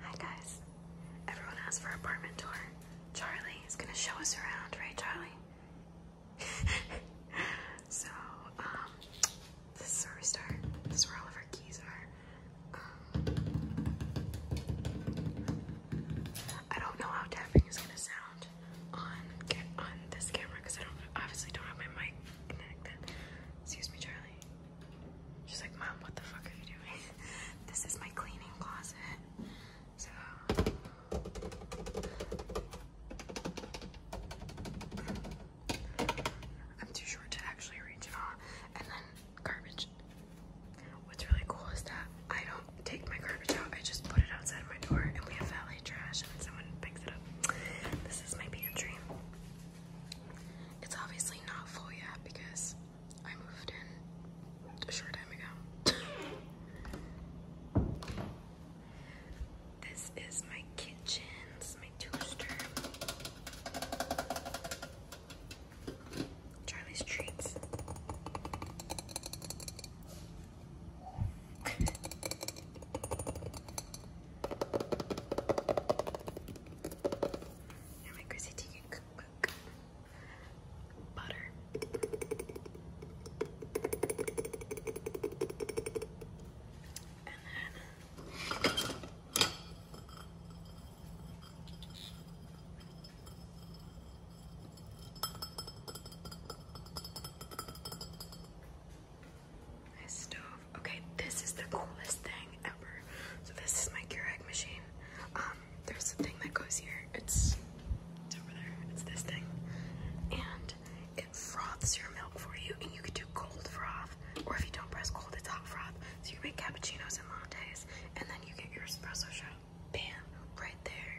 Hi guys. Everyone asked for apartment tour. Charlie is gonna show us around, right Charlie? so, um, this is where we start. This is where all of our keys are. Um, I don't know how tapping is gonna sound on on this camera because I don't obviously don't have my mic connected. Excuse me, Charlie. She's like, Mom, what the fuck are you doing? this is my cleaning closet. I'm too short to actually reach it all. And then garbage. What's really cool is that I don't take my garbage out, I just put it outside of my door and we have valet trash and then someone picks it up. This is my pantry. It's obviously not full yet because I moved in a short time ago. this is my kitchen, my toaster. Charlie's treats. And my Chrissy Teigen cookbook. Butter. And then Okay, this is the coolest thing ever. So this is my Keurig machine. Um, there's a thing that goes here. It's over there. It's this thing, and it froths your milk for you. And you can do cold froth, or if you don't press cold, it's hot froth. So you make cappuccinos and lattes, and then you get your espresso shot. Bam, right there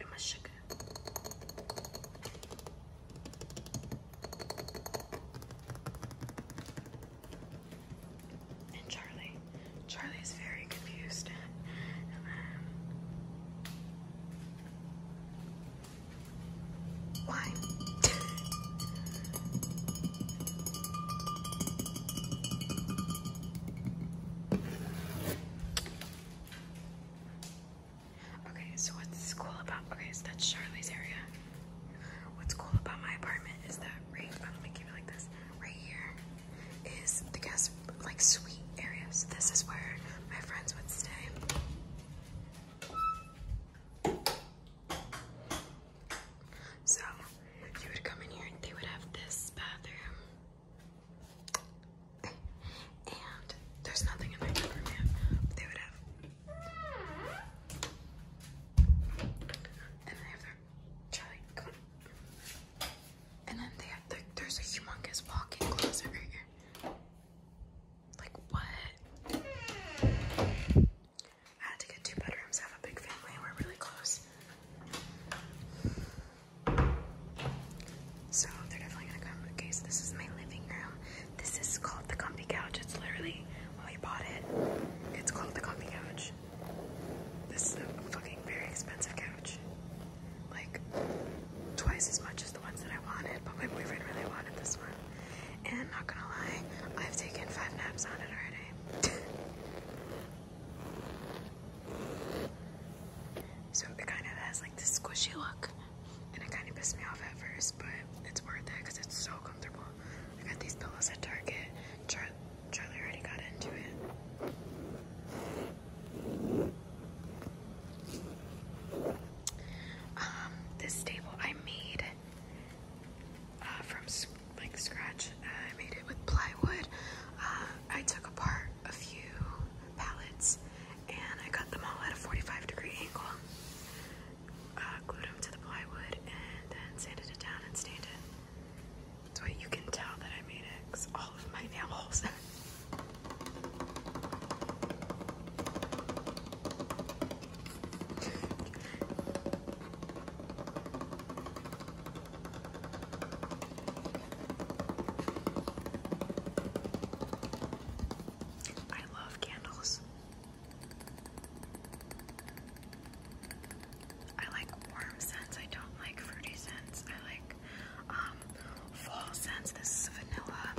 and my sugar. And Charlie. Charlie is very confused. Um, why? Okay, so what's cool about okay, so that's Charlie's area. What's cool about my apartment is that right I'm um, gonna like this, right here is the guest like suite area. So this is where my friends would stay. So you would come in here they would have this bathroom. And there's nothing in my Peppermint. They would have. And they have their jelly. And then they have their, there's a humongous walk-in closet right here. Like what? I had to get two bedrooms. have a big family. We're really close. So they're definitely gonna come. Okay, so this is my living room. This is called the comfy couch. It's literally when we bought it, it's called the comfy couch. This is a fucking very expensive couch. Like twice as much as the ones that I wanted, but my boyfriend really wanted this one. And not gonna lie, I've taken five naps on it already. So it kind of has like this squishy look, and it kind of pissed me off at first, but it's worth it because it's so comfortable. I got these pillows at Target. Charlie already got into it. Um, this table I made uh, from like scratch. I made it with plywood. Uh, I took apart a few pallets and I cut them all at a 45 degree angle. Uh, glued them to the plywood and then sanded it down and stained it. That's why you can tell that I made it all of my nail holes. I love candles. I like warm scents. I don't like fruity scents. I like um, fall scents. This is vanilla.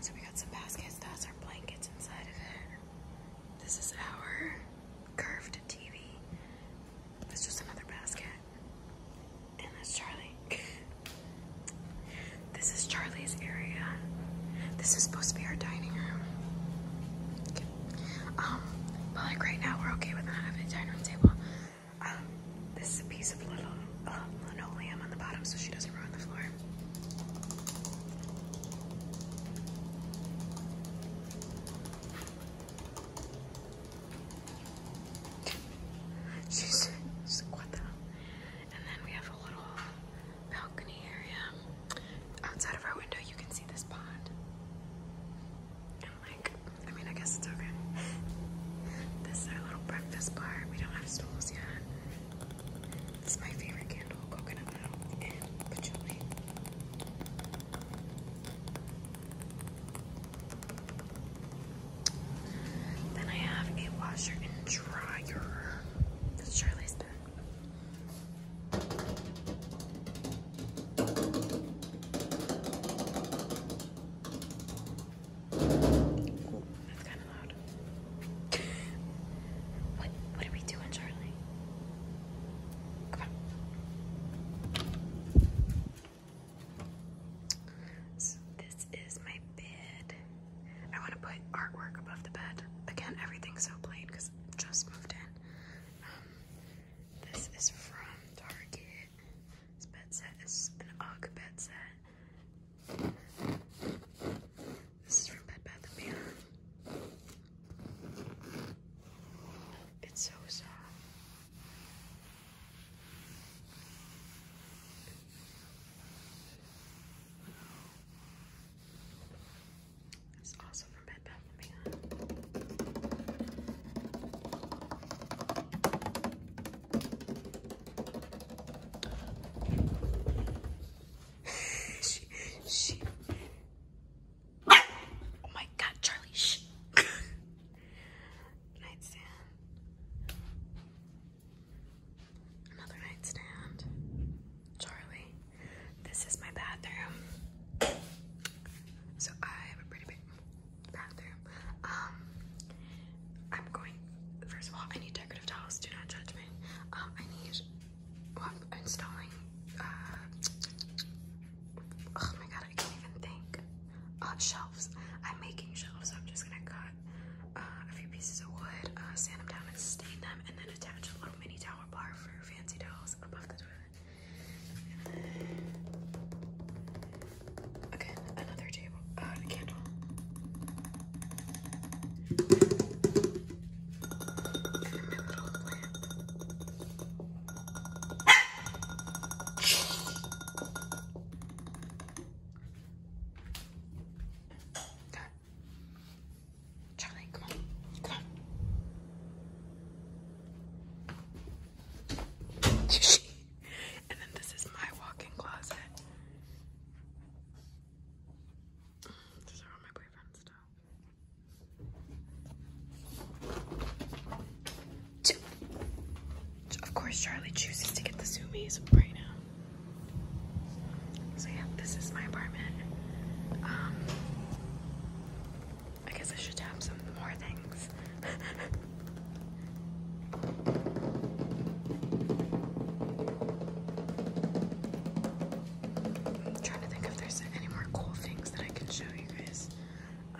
So we got some baskets. That's our blankets inside of it. This is our curved TV. That's just another basket. And that's Charlie. this is Charlie's area. This is supposed to be our dining room. Um, but like right now we're okay with not having a dining room table. Um, this is a piece of little oh, linoleum on the bottom so she doesn't ruin the floor. She's squat And then we have a little balcony area. Outside of our window, you can see this pond. like, I mean, I guess it's over. this is our little breakfast bar. We don't have stools yet. It's my favorite candle, coconut oil and patchouli. Then I have a washer and dryer. That's Charlie's bed that's kind of loud. what, are we doing, Charlie? So this is my bed. I want to put artwork above the bed. Again, everything's so plain because just moved in. Um, this is from Target. This bed set is an UGG bed set. This is from Bed Bath & Beyond. It's so soft. It's also from Bed Bath & Beyond. Oh my god, Charlie, shh. nightstand. Another nightstand. Charlie, this is my bathroom. So I have a pretty big bathroom. Um, I'm going. First of all, I need decorative towels. Do not judge me. Um, I need. Well, installing. Uh, oh my god, I can't even think. Uh, shelves. I'm making shelves, so I'm just gonna cut uh, a few pieces of wood, sand them down, and stain them, and then attach a little mini tower bar for fancy towels above the toilet. Again, another table, uh, candle. And a little lamp. God. Charlie, come on. Come on. and then this is my walk-in closet. These are all my boyfriend's stuff. Of course, Charlie chooses to get the zoomies right now. So yeah, this is my apartment. Um, I guess I should have some more things. trying to think if there's any more cool things that I can show you guys. Uh,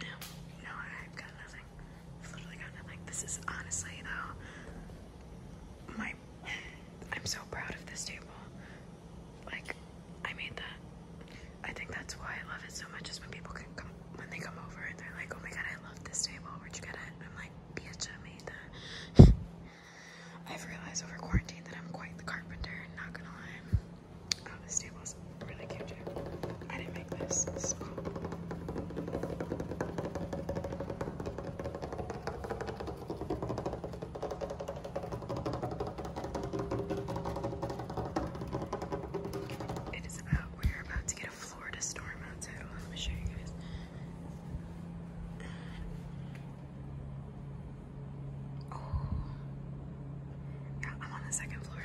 no, no, I've got nothing. I've literally got nothing. This is honestly though my I'm so proud of this table. Like, I made that. I think that's why I love it so much is when people can come, when they come over and they're like, oh my god, I love this table. Where'd you get it? I'm like, bitch, made that. I've realized over quarantine that I'm quite the carpenter, not gonna lie. Oh, this table's really cute. I didn't make this. It is about, we are about to get a Florida storm outside. let me show you guys. Oh. Yeah, I'm on the second floor.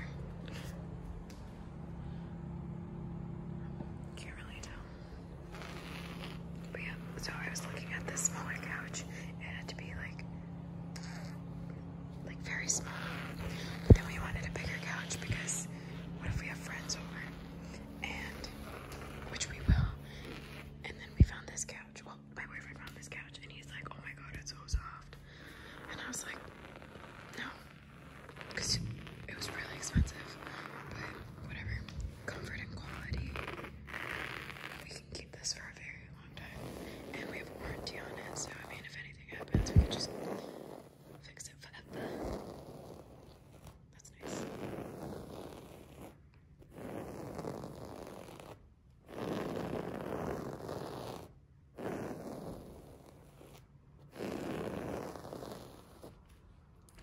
Can't really tell. But yeah, so I was looking at this smaller couch and it had to be like like very small. But then we wanted a bigger couch because what if we have friends over? And which we will. And then we found this couch. Well, my boyfriend found this couch and he's like, Oh my god, it's so soft. And I was like, No, because it was really expensive, but whatever. Comfort and quality. We can keep this for a very long time, and we have a warranty on it. So I mean, if anything happens, we can just fix it forever. That's nice.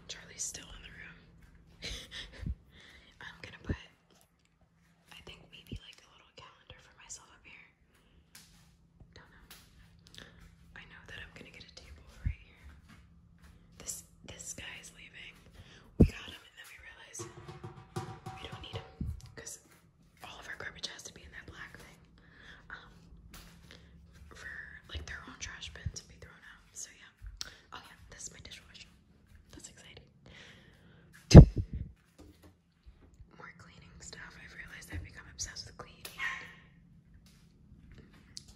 Charlie's still in the room. I'm gonna put, I think maybe like a little calendar for myself up here. I know that I'm gonna get a table right here. This this guy is leaving. We got him and then we realized we don't need him because all of our garbage has to be in that black thing. Um, for like their own trash bin to be thrown out. So yeah. Oh yeah, this is my dishwasher. That's exciting. More cleaning stuff. I've realized I've become obsessed with cleaning.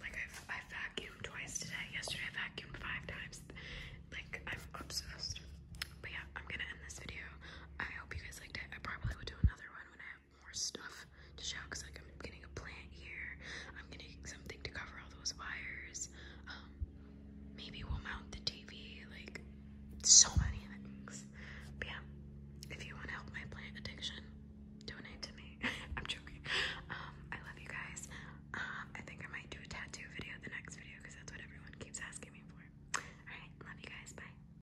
Like i I vacuumed twice today. Yesterday I vacuumed five times. Like I'm obsessed. But yeah, I'm gonna end this video. I hope you guys liked it. I probably will do another one when I more stuff to show because like I'm getting a plant here. I'm getting something to cover all those wires. Um, maybe we'll mount the TV. Like so many things. yeah, if you want to help my plant addiction, donate to me. I'm joking. Um, I love you guys. Um, I think I might do a tattoo video the next video because that's what everyone keeps asking me for. All right, love you guys. Bye.